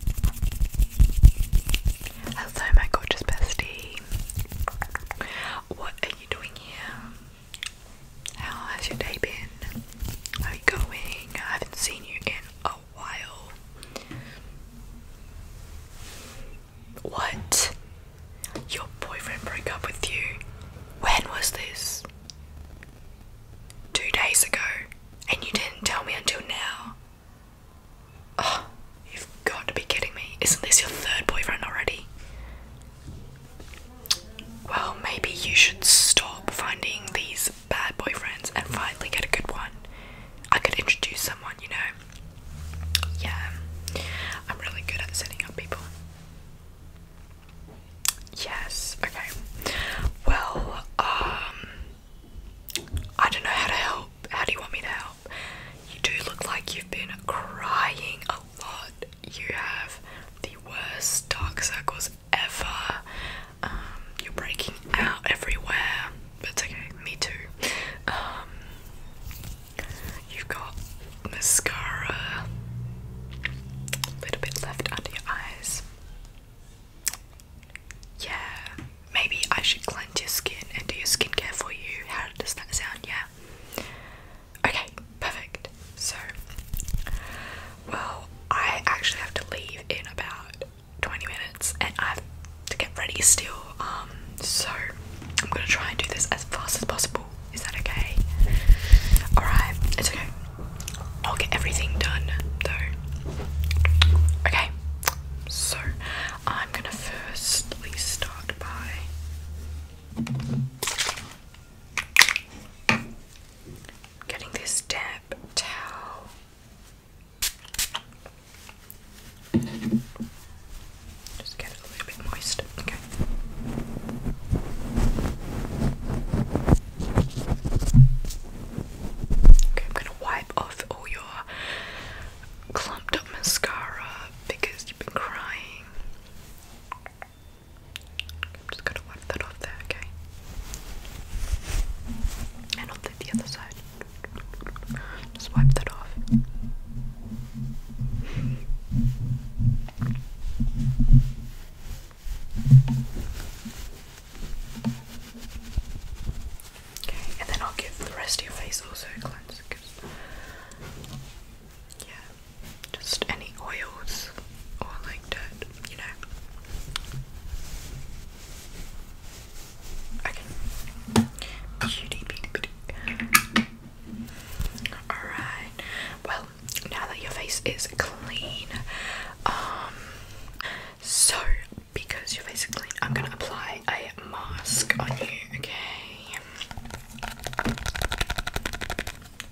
Hello, oh, my gorgeous bestie. What are you doing here? How has your day been? How are you going? I haven't seen you in a while. What? Your boyfriend broke up with you? When was this? Two days ago, and you didn't tell me until now. Ah, you've got to be kidding me. Isn't this your third boyfriend already? Well, maybe you should stop finding these bad boyfriends and finally get a good one. I could introduce someone, you know? Yeah, I'm really good at setting up people. Yes, okay. Well, um, I don't know how to help. How do you want me to help? You do look like you've been crying a lot. You have the worst dark circles ever. Um, you're breaking out everywhere. but it's okay, me too. Um, you've got mascara, a little bit left under your eyes. Yeah, maybe I should cleanse your skin and do your skincare for you. How does that sound? Yeah. Okay, perfect. So, well, I actually have to leave in about 20 minutes and I have to get ready still. Um, so I'm gonna try and do this as fast as possible. Is that okay? Alright, it's okay. I'll get everything done though. Okay, so I'm gonna firstly start by getting this damp towel. Just get a little bit moist. Okay. Okay, wipe off all your clumped up mascara because you've been crying. just gonna wipe that off there, okay? And on the, the other side. Just wipe that off. Okay, and then I'll give the rest of your face also a cleanse because, yeah, just any oils or like dirt, you know. Okay. Alright, well, now that your face is clean, um, so, because you're basically, I'm gonna apply a mask on you, okay?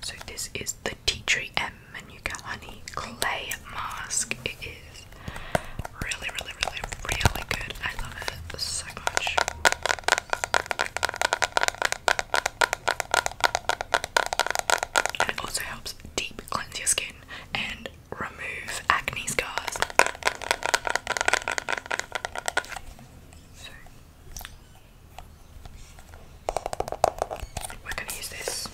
So, this is the Tea Tree M Manuka Honey Clay Mask. It is really, really, really, really good. I love it so much. And it also helps deep cleanse your skin and remove acne scars. we're going to use this.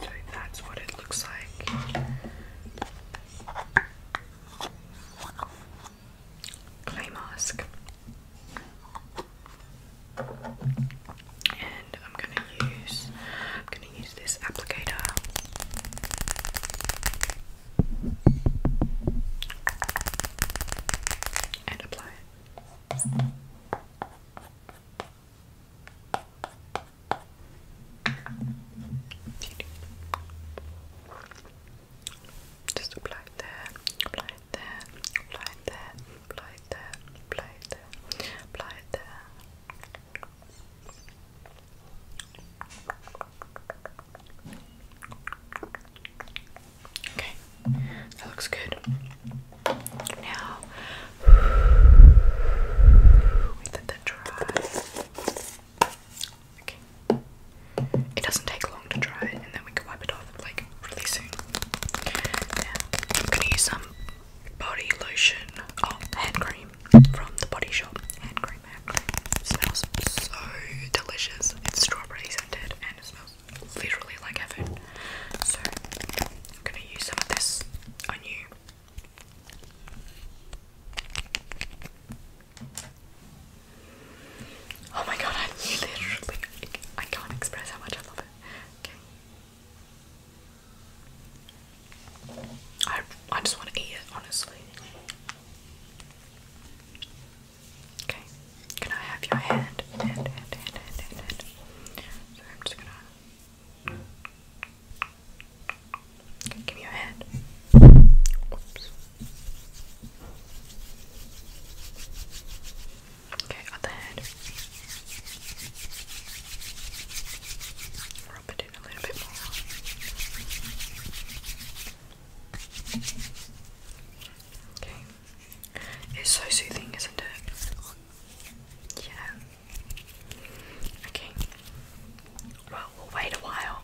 So that's what it looks like. Clay mask and I'm gonna use I'm gonna use this applicator. And apply it. Just apply there there, apply it apply it apply it apply it Okay, that looks good. Now we did that dry. Okay. It doesn't take long to dry, and then we can wipe it off like like really soon. Yeah. gonna use some body lotion, oh, hand cream from the body shop. Hand cream, hand cream. smells so delicious. It's strawberry scented and it smells literally like heaven. So gonna use some of this on you. Oh my god, I literally I can't express how much I love it. Okay. I I just want to eat it, honestly. Okay, can I have your hand? Hand, hand, hand, hand, hand, hand. So I'm just gonna. give me your hand. Okay, other head. Rub it in a little bit more. Okay. It's so soothing, isn't it? Yeah. Okay. Well, we'll wait a while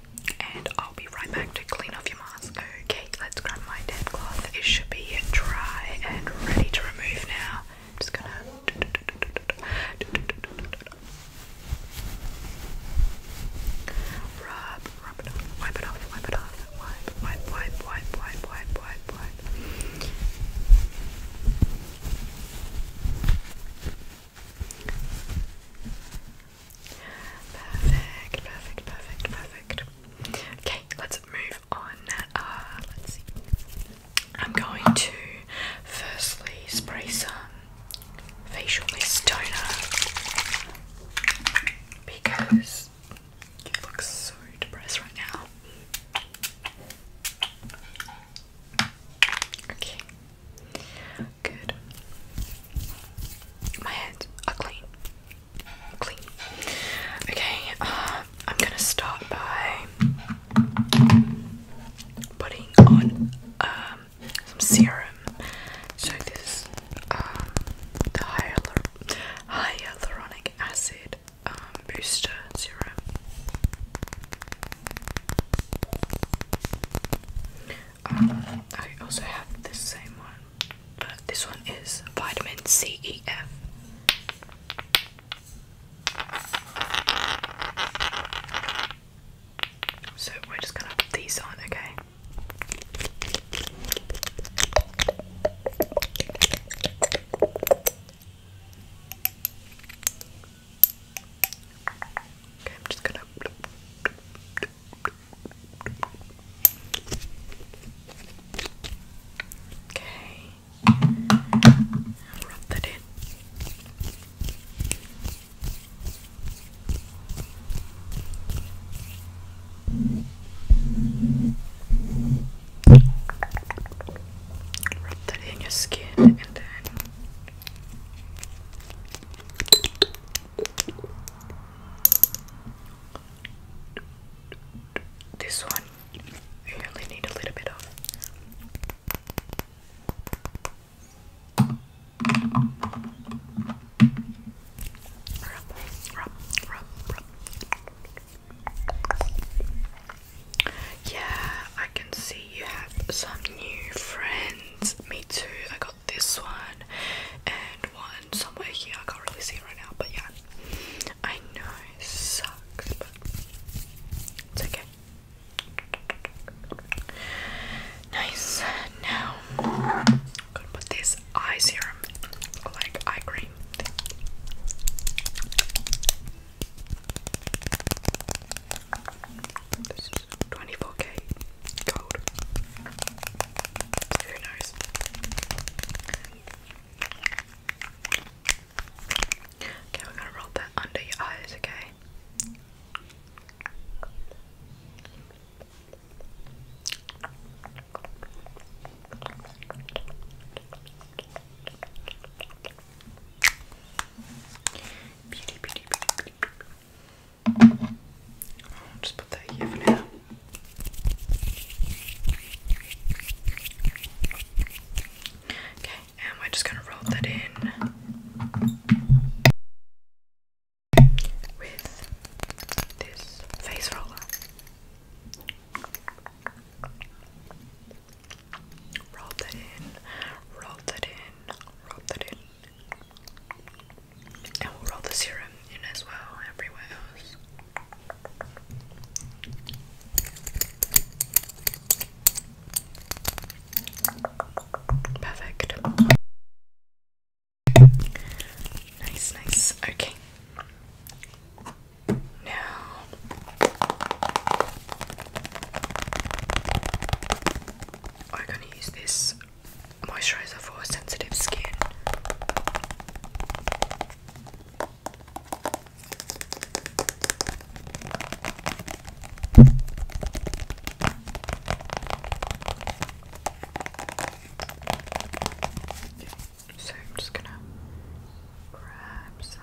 and I'll be right back to clean off your mask. Okay. Let's grab my dishcloth. It should be dry and ready to remove now. just gonna. Rub, rub it off, wipe it off, wipe it off, wipe, wipe, wipe, wipe, wipe, wipe. Perfect, perfect, perfect, perfect. Okay, let's move on, uh, let's see, I'm going to firstly spray some facial mist toner because you look so depressed right now. Okay, good. My hands are clean. Okay, uh, I'm gonna start by putting on um, some serum. So this um, the hyalur hyaluronic acid um, booster serum. Um, I also have this same one but this one is vitamin C E F. So we're just gonna put these on, okay? Okay, I'm just gonna. Okay. Rub that in. Rub that in your skin and then this one, you only need a little bit of. Yeah, I can see you have some new friends. Me too. I got this one one somewhere here. I can't really see it right now, but yeah. I know it sucks, but it's okay. Nice. Now, gonna put this eye serum, like eye cream. 24k gold. Who knows? Okay, we're gonna roll that under your eyes, okay? Beauty, beauty, beauty, I'll just put that here for now. Okay, and we're just going to roll that in with this face roller. Roll that in, roll that in, roll that in. And we'll roll the serum and as well everywhere else. Perfect. Nice, nice. Okay. Now I'm gonna use this moisturizer for sensitive skin. So I'm just gonna grab some.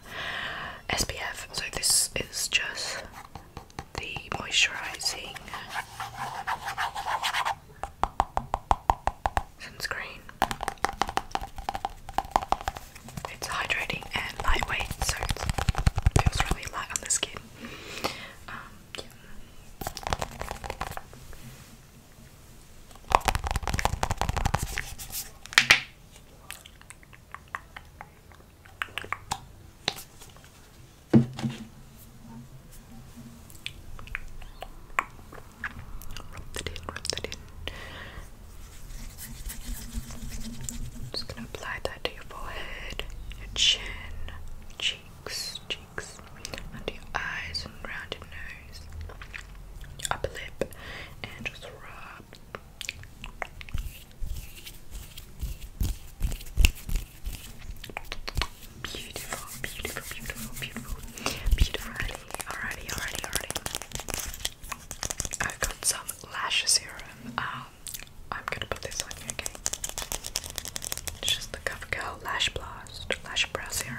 SPF. So this is just the moisturising sunscreen. It's hydrating and lightweight, so it feels really light on the skin. Um, Rub that in, rub that in. just gonna apply that to your forehead, your chin, cheeks, cheeks, under your eyes and around nose, upper lip, and just rub, Beautiful, beautiful, beautiful, beautiful, beautiful. Already, already, already, already. I've got some lash serum. Um, I'm gonna put this on you, okay? It's just the Cover Lash Blast Lash Brow Serum.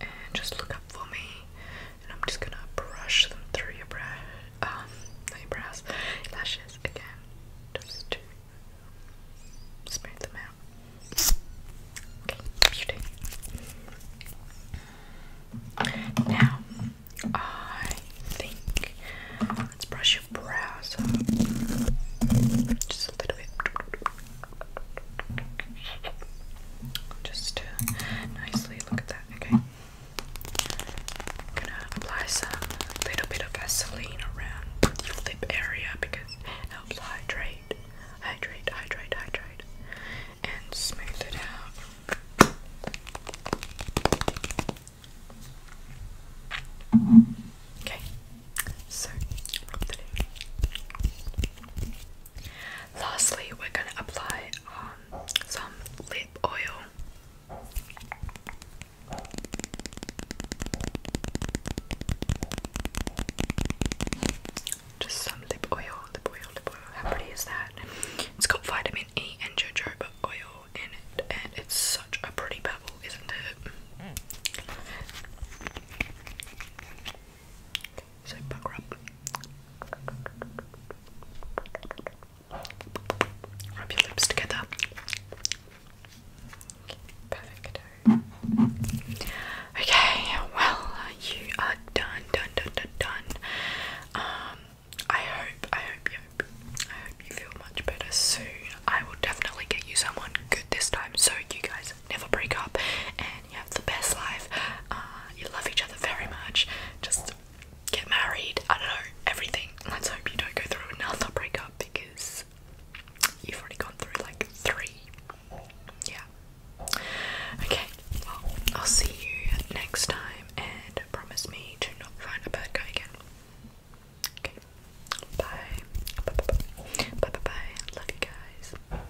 and just look up for me and I'm just gonna brush them through your brow um, your brows lashes again just to smooth them out. Okay, beauty. Now I think let's brush your brows just a little bit. Just to uh, nicely look at that, okay? gonna apply some little bit of Vaseline around your lip area because it helps hydrate, hydrate, hydrate, hydrate, and smooth it out. Okay, so Lastly, we're going to apply um, some lip oil. Just some lip oil, lip oil, lip oil. How pretty is that? It's got vitamin E and jojoba oil in it, and it's such a pretty pebble, isn't it? Mm. So rub. Rub your lips together. Okay, well, you are done, done, done, done, done. Um, I hope, I hope you, hope, I hope you feel much better soon. I will definitely get you someone good this time, so you guys never break up and you have the best life. Uh, you love each other very much. Just get married. I don't know, everything. Let's hope you don't go through another breakup because you've already gone through like three. Yeah. Okay, well, I'll see you next time and promise me to not find a bad guy again. Okay. Bye bye bye. Bye bye bye. Love you guys.